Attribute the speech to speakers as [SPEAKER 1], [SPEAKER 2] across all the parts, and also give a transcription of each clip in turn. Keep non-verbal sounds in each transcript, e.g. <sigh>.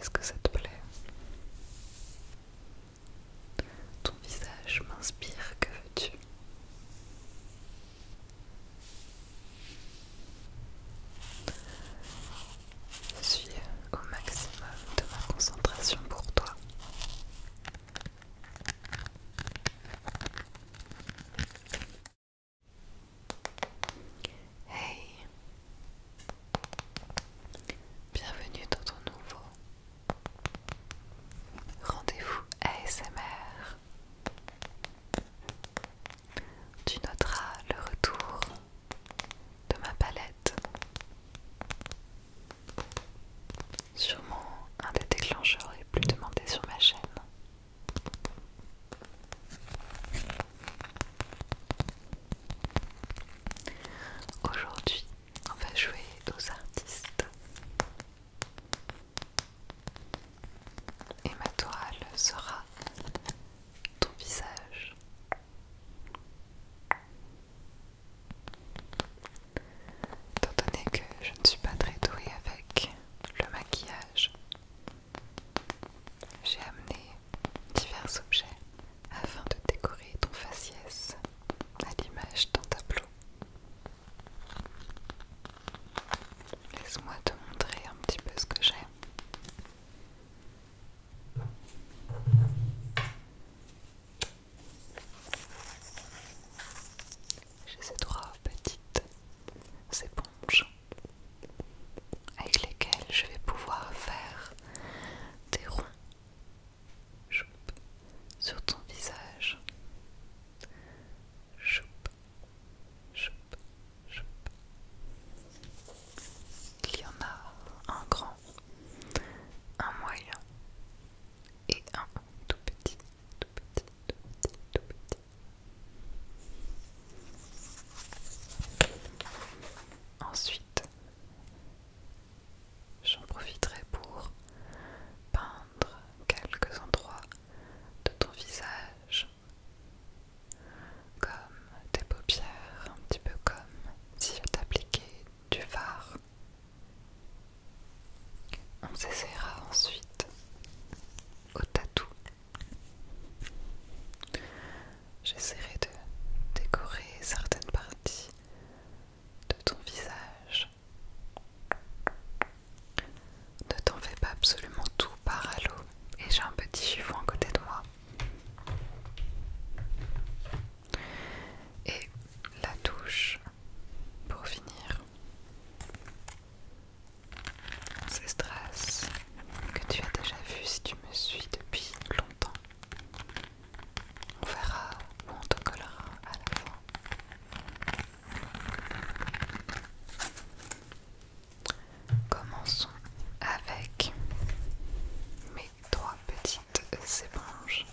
[SPEAKER 1] Est-ce que ça te plaît Ton visage m'inspire, que veux-tu Je suis au maximum de ma concentration pour toi. Hey Bienvenue dans ton nouveau rendez-vous ASMR. Tu noteras le retour de ma palette. Sûrement un des déclencheurs les plus demandés sur ma chaîne. Aujourd'hui, on va jouer aux artistes. Et ma toile sera ton visage. Tant donné que je ne suis pas très douée avec le maquillage, j'ai amené divers objets afin de décorer ton faciès à l'image d'un tableau. Laisse-moi te montrer un petit peu ce que j'ai. J'ai ces trois petites ces ponches avec lesquelles je vais pouvoir faire des ronds sur ton visage. Choup, choup, choup. Il y en a un grand, un moyen et un tout petit, tout petit, tout petit, tout petit. Ensuite, j'en profiterai pour peindre quelques endroits de ton visage, comme tes paupières, un petit peu comme si je t'appliquais du fard. On s'essaiera ensuite au tatou. J'essaierai de décorer certaines parties de ton visage. Ne t'en fais pas absolument tout par à l'eau. Et j'ai un petit chiffon à côté de moi. Et la touche pour finir. C'est stress que tu as déjà vu si tu me suis depuis longtemps. On verra où on te collera à la fin. Commençons avec mes trois petites éponges.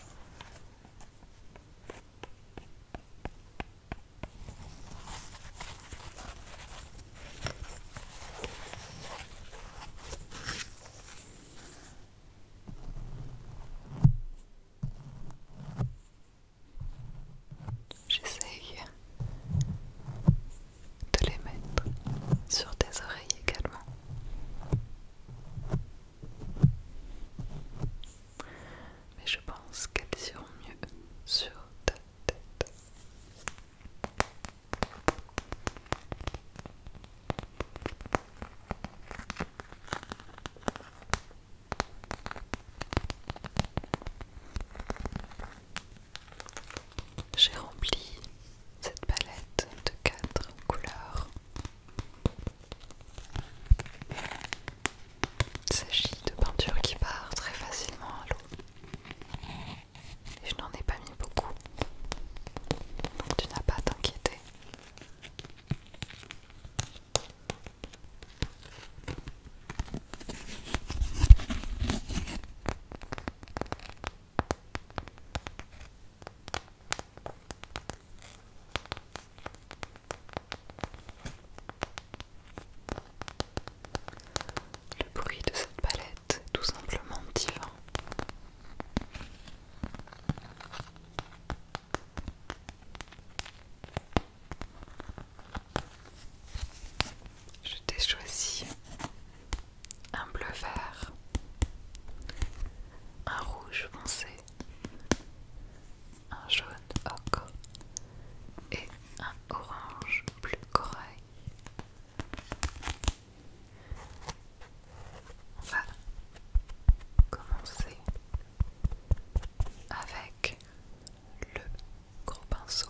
[SPEAKER 1] J'essaye de les mettre sur tes oreilles également mais je pense qu'elles iront mieux sur ta tête. J'ai rempli cette palette de quatre couleurs. Il s'agit de peinture qui part très facilement à l'eau. je n'en ai pas mis beaucoup. Donc tu n'as pas à t'inquiéter. Le bruit de cette palette tout simplement divin. Je t'ai choisi un bleu vert, un rouge foncé, un jaune ocre et un orange plus corail. On va commencer avec le gros pinceau.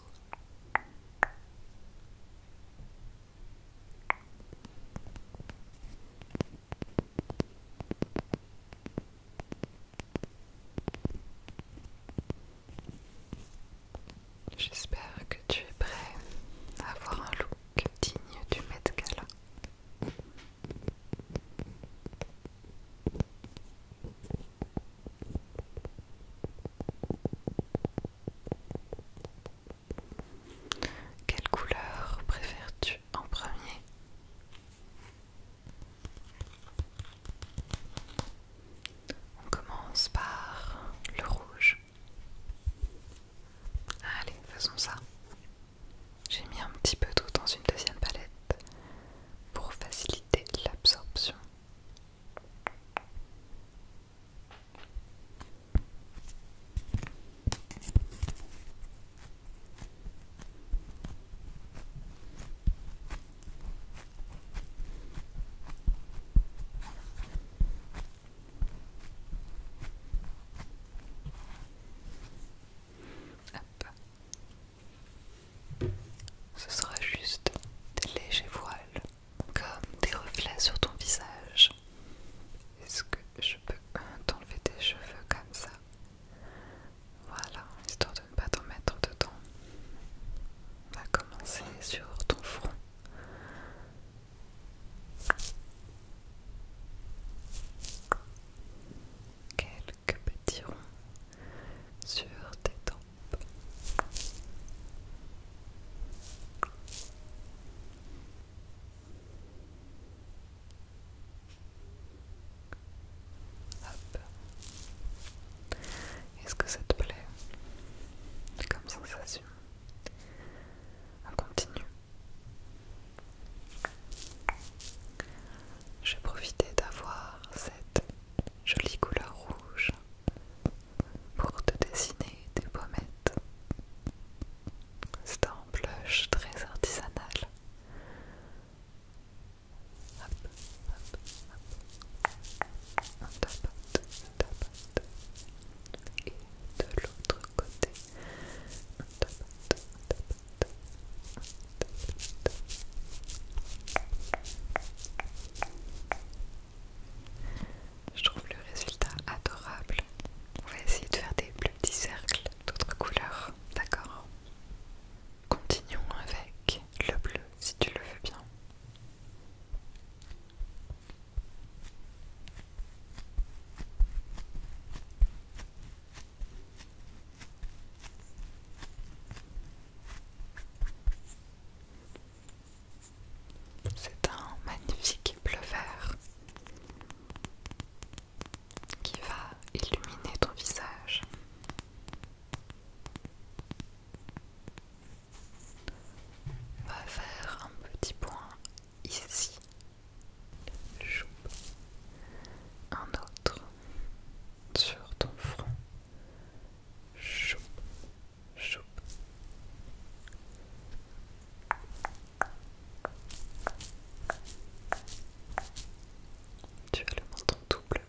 [SPEAKER 1] J'espère que tu es prêt à avoir un look digne du Met Gala. Quelle couleur préfères-tu en premier on commence par le rouge. Allez, faisons ça. J'ai mis un petit peu d'eau dans une deuxième palette pour faciliter l'absorption. Ce sera juste des légers voiles, comme des reflets sur ton visage. Est-ce que je peux t'enlever tes cheveux comme ça voilà, histoire de ne pas t'en mettre dedans. On va commencer sur ton front. Quelques petits ronds sur tes tempes. Hop. Est-ce que ça te plaît comme sensation On continue. Je profitais d'avoir cette jolie couleur rouge pour te dessiner des pommettes. C'est un blush très artisanal et de l'autre côté, Je trouve le résultat adorable. On va essayer de faire des plus petits cercles d'autres couleurs, d'accord Continuons avec le bleu si tu le veux bien. C'est un magnifique bleu vert qui va illuminer ton visage. va faire un petit point ici. Choupe. Un autre sur ton front. Choupe. Choupe. Tu as le menton double.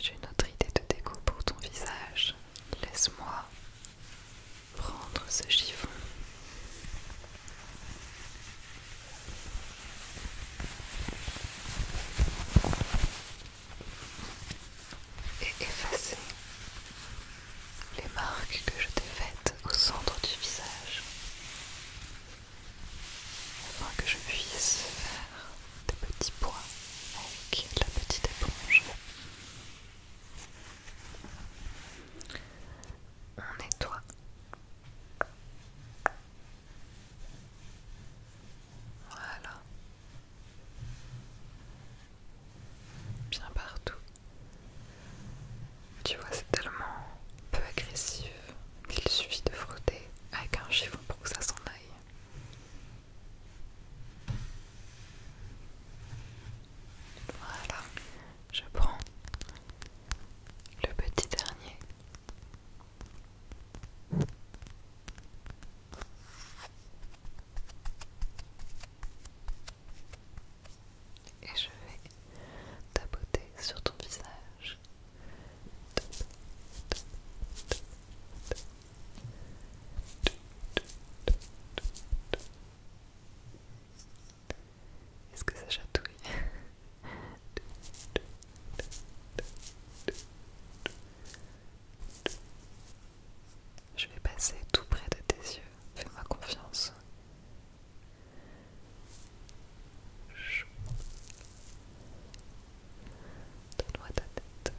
[SPEAKER 1] J'ai une autre idée de déco pour ton visage. Laisse-moi prendre ce chiffon. Et effacer les marques que je t'ai faites au centre du visage afin que je puisse faire des petits points avec la petite éponge. On nettoie. Voilà. Bien partout. Tu vois, c'est tellement peu agressif qu'il suffit de frotter avec un chiffon pour que ça s'en aille. Voilà, je prends le petit dernier. Et je vais tapoter sur ton visage. Est-ce que ça chatouille <laughs> Je vais passer tout près de tes yeux, fais-moi confiance. Donne-moi ta tête.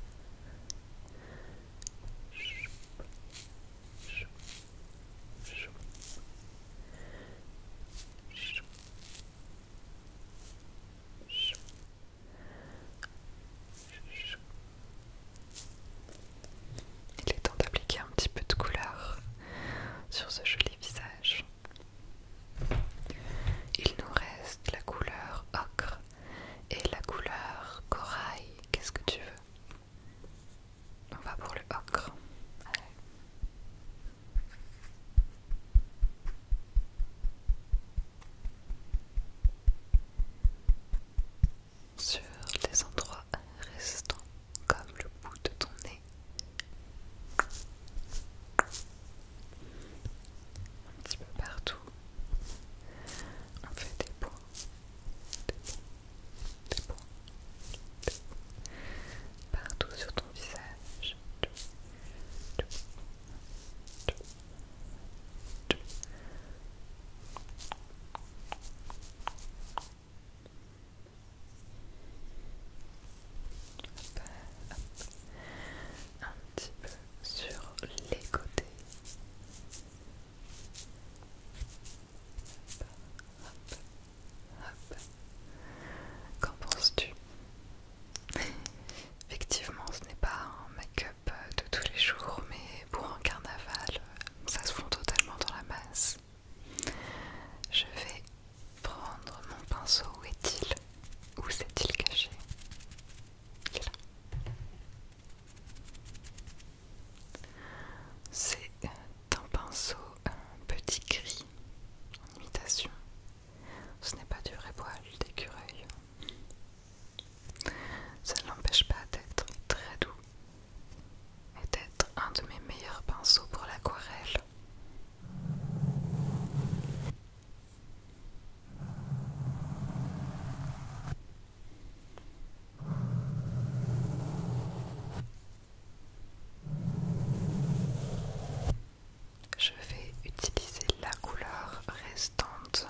[SPEAKER 1] Il est temps d'appliquer un petit peu de couleur sur ce joli visage. Il nous reste la couleur ocre et la couleur corail. Qu'est-ce que tu veux on va pour le ocre. Sur les endroits restants, comme le bout de ton nez. Un petit peu partout. On fait Des points. Partout sur ton visage. Un petit peu sur les côtés. Qu'en penses-tu Effectivement, ce n'est pas un make-up euh, de tous les jours, mais pour un carnaval, euh, ça se fond totalement dans la masse. Je vais prendre mon pinceau. Où est-il Où s'est-il caché c'est un pinceau, un petit gris, en imitation. Ce n'est pas du vrai poil d'écureuil. Ça ne l'empêche pas d'être très doux et d'être un de mes meilleurs pinceaux pour l'aquarelle. Je vais utiliser la couleur restante.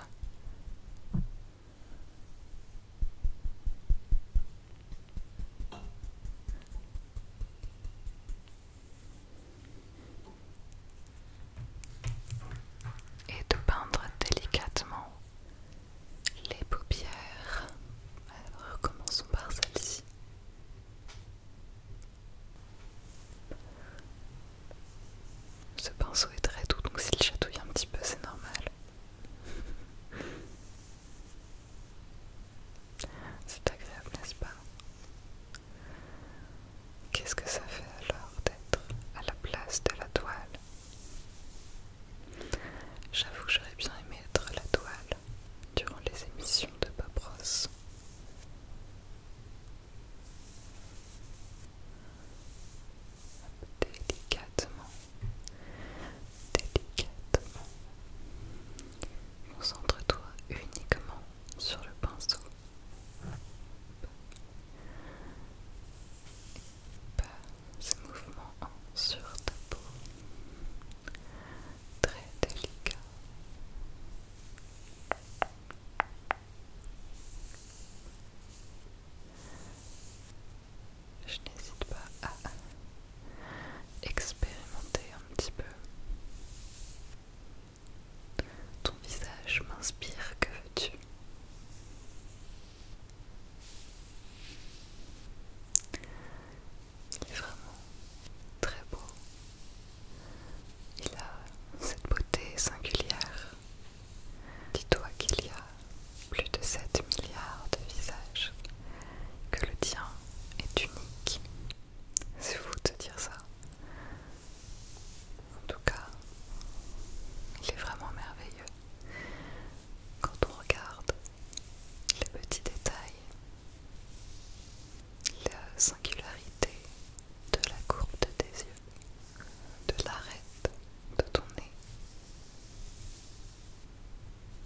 [SPEAKER 1] Et de peindre délicatement les paupières. Alors recommençons par celle-ci. Ce pinceau est très doux, donc s'il chatouille un petit peu, c'est normal. <laughs> C'est agréable, n'est-ce pas Qu'est-ce que ça fait alors d'être à la place de la toile J'avoue que j'aurais bien aimé être la toile durant les émissions de Bob Ross. Délicatement, délicatement, concentre-toi uniquement sur le pinceau pas ce mouvement sur ta peau très délicat. Je n'hésite pas à expérimenter un petit peu. Ton visage m'inspire, que veux-tu il est vraiment très beau. Il a cette beauté singulière. Dis-toi qu'il y a plus de 7 milliards de visages, que le tien est unique. C'est fou de te dire ça. En tout cas, il est vraiment merveilleux. Quand on regarde les petits détails, la singularité de la courbe de tes yeux, de l'arête de ton nez.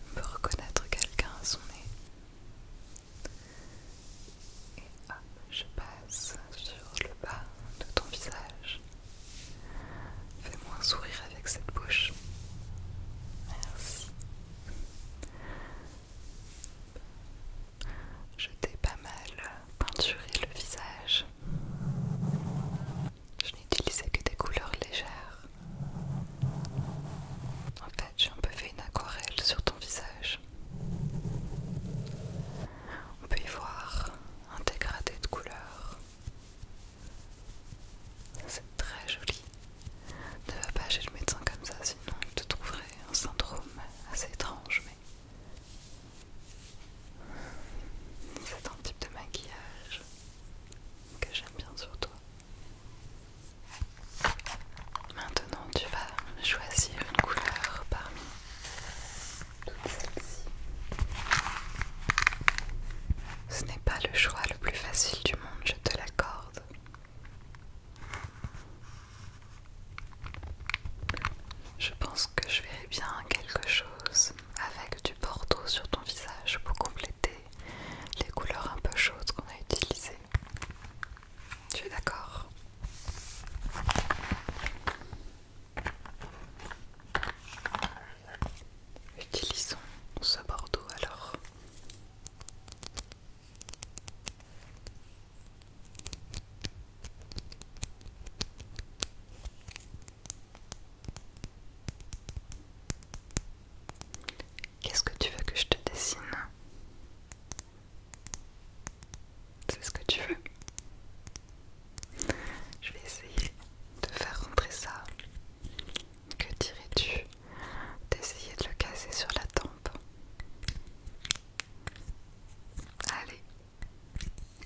[SPEAKER 1] On peut reconnaître quelqu'un à son nez. Et hop, je passe sur le bas de ton visage. Fais-moi un sourire avec cette bouche. Merci. Je t'ai pas mal peinturé le visage. Je n'utilisais que des couleurs légères. En fait, j'ai un peu fait une aquarelle sur ton visage. On peut y voir un dégradé de couleurs. C'est très joli. Ne va pas chez le médecin comme ça, sinon il te trouverait un syndrome assez étrange, mais. C'est un type de maquillage que j'aime bien sur toi. Maintenant, tu vas choisir une couleur parmi toutes celles-ci. Ce n'est pas le choix le plus facile du monde, je te l'accorde. Je pense que je verrai bien quelque chose avec du bordeaux sur ton visage pour compléter les couleurs un peu chaudes qu'on a utilisées. Tu es d'accord Utilisons ce bordeaux alors. Qu'est-ce que tu veux que je te dessine C'est ce que tu veux je vais essayer de faire rentrer ça. Que dirais-tu d'essayer de le casser sur la tempe Allez,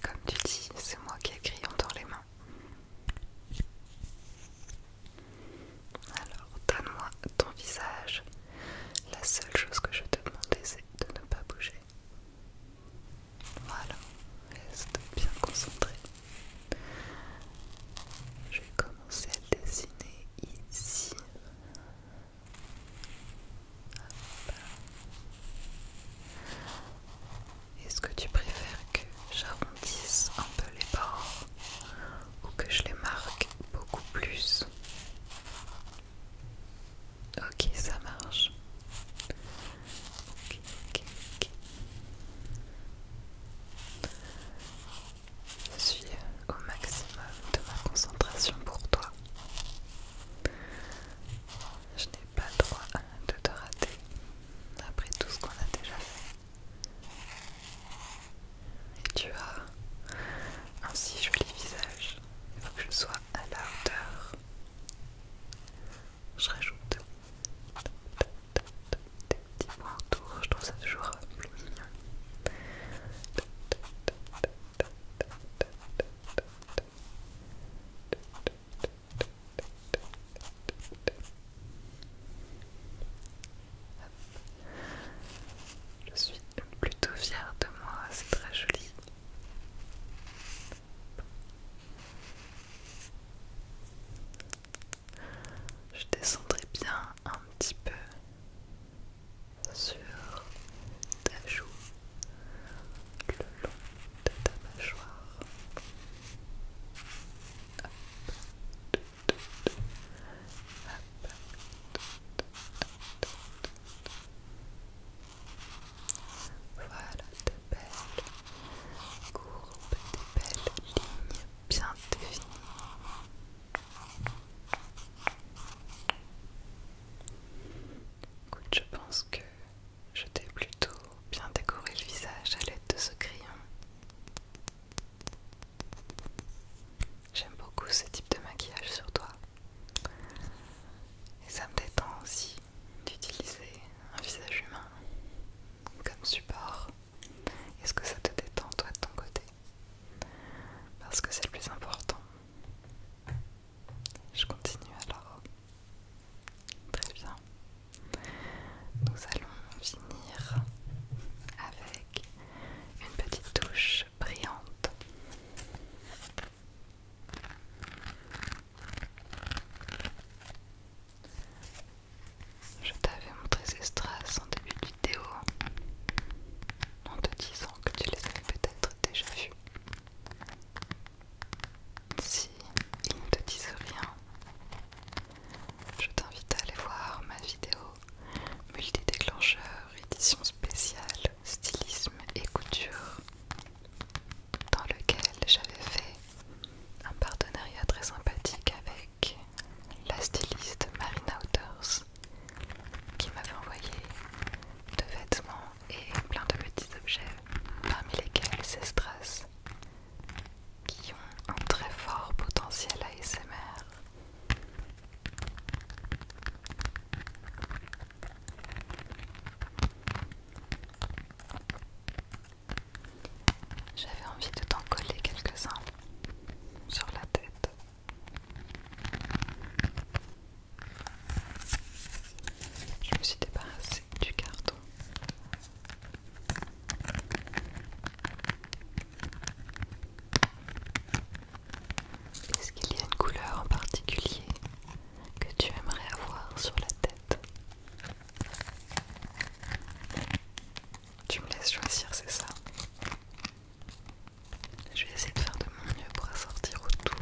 [SPEAKER 1] comme tu dis, c'est moi qui ai crayon dans les mains. Alors, donne-moi ton visage. La seule chose que je te demandais, c'est de ne pas bouger. Voilà, reste bien concentré. Je vais commencer à dessiner ici. Est-ce que tu préfères que j'arrondisse un peu les bords ou que je les marque beaucoup plus Ok, ça marche. Je suis au maximum de ma concentration pour toi. Je n'ai pas le droit hein, de te rater après tout ce qu'on a déjà fait. Et tu as un si joli visage. Il faut que je sois à la hauteur je rajoute des petits points autour, je trouve ça toujours euh, plus mignon. Je suis plutôt fière de moi, c'est très joli. Je descendrai bien un petit peu sur ta joue, le long de ta mâchoire. Voilà de belles courbes, de belles lignes bien définies. Écoute, je pense que je t'ai plutôt bien décoré le visage à l'aide de ce crayon. J'aime beaucoup ce type de maquillage sur toi. Et ça me détend aussi d'utiliser un visage humain comme support Est-ce que ça te détend toi de ton côté Parce que c'est le plus important. Je continue alors. Très bien. Nous allons finir avec une petite touche brillante. Je t'avais montré ces strass en début de vidéo en te disant que tu les avais peut-être déjà vus. Si ils ne te disent rien, je t'invite à aller voir ma vidéo multi-déclencheur édition spéciale stylisme et couture dans lequel j'avais fait un partenariat très sympathique avec la styliste Marina Outers qui m'avait envoyé de vêtements et plein de petits objets parmi lesquels ces strass qui ont un très fort potentiel ASMR j'avais envie de t'en coller quelques-uns sur la tête. Je me suis débarrassée du carton. Est-ce qu'il y a une couleur en particulier que tu aimerais avoir sur la tête. Tu me laisses choisir, c'est ça Je vais essayer de faire de mon mieux pour assortir au tout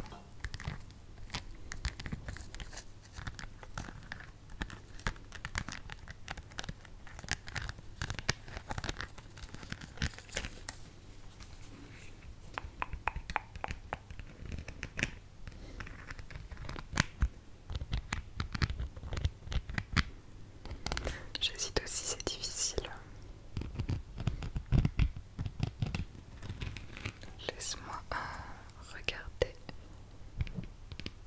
[SPEAKER 1] J'hésite aussi, c'est difficile. Laisse-moi euh, regarder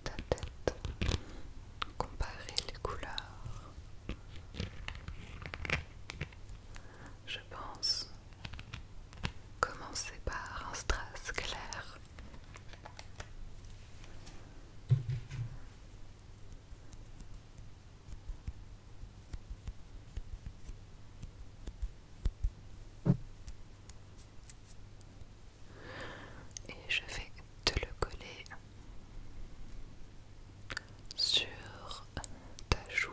[SPEAKER 1] ta tête, comparer les couleurs je pense commencer par un strass clair. Et je vais te le coller sur ta joue.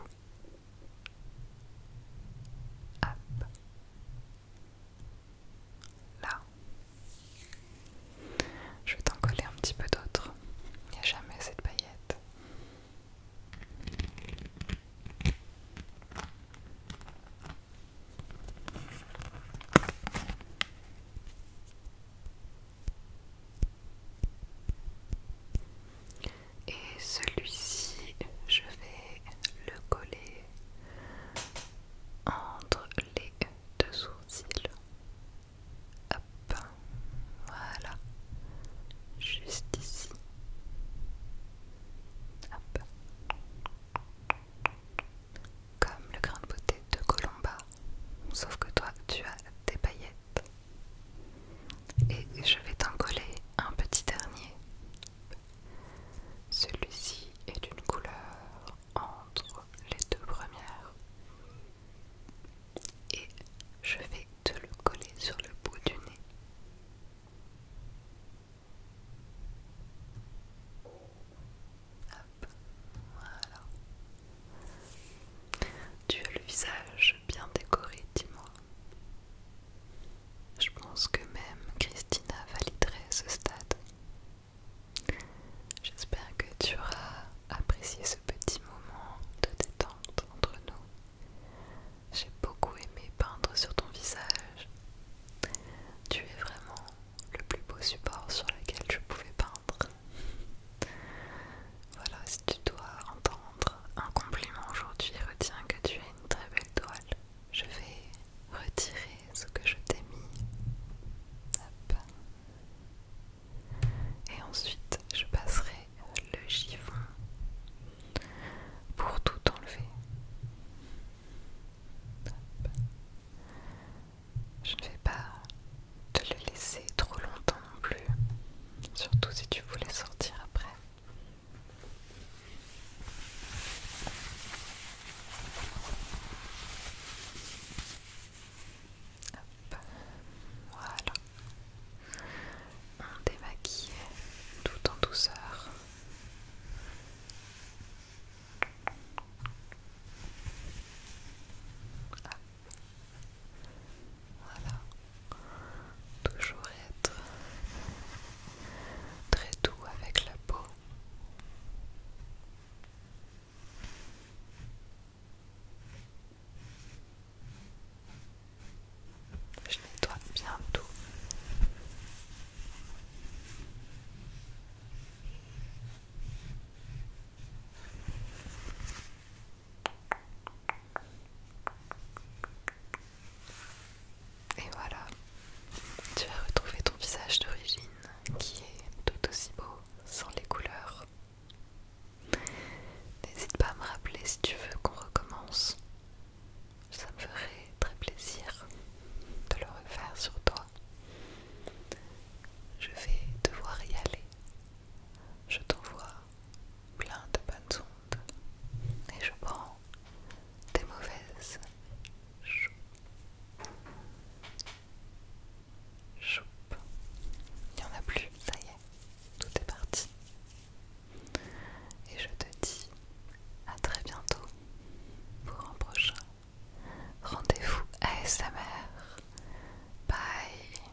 [SPEAKER 1] Là. Je vais t'en coller un petit peu d'autre, Il n'y a jamais cette paillette et celui-ci je vais le coller entre les deux sourcils hop voilà juste ici hop comme le grain de beauté de Colomba sauf que toi tu as des paillettes et je vais t'en coller un petit dernier. Celui-ci est d'une couleur entre les deux premières. Et je vais te le coller sur le bout du nez. Hop, voilà. Tu as le visage bien décoré, dis-moi. Je pense que même Christina validerait ce stade. J'espère que tu auras apprécié ce petit moment de détente entre nous. J'ai beaucoup aimé peindre sur ton visage. Tu es vraiment le plus beau support sur lequel je pouvais peindre. Voilà, si tu dois entendre un compliment aujourd'hui. Retiens que tu as une très belle toile. Je vais retirer ce que je t'ai mis. Et ensuite, je passerai le chiffon pour tout enlever. Je ne vais pas te le laisser trop longtemps non plus, surtout si tu voulais sortir après. Voilà. On démaquille tout en douceur. Voilà. Toujours être très doux avec la peau. Je nettoie bien tout. Et voilà, tu as retrouvé ton visage d'origine qui est tout aussi beau sans les couleurs. N'hésite pas à me rappeler si tu veux qu'on recommence. Ça me ferait très plaisir de le refaire sur toi. Je vais devoir y aller. Je t'envoie plein de bonnes ondes et je prends des mauvaises. Choup. Il n'y en a plus, ça y est, tout est parti. Et je te dis à très bientôt pour un prochain rendez-vous à ASMR. Bye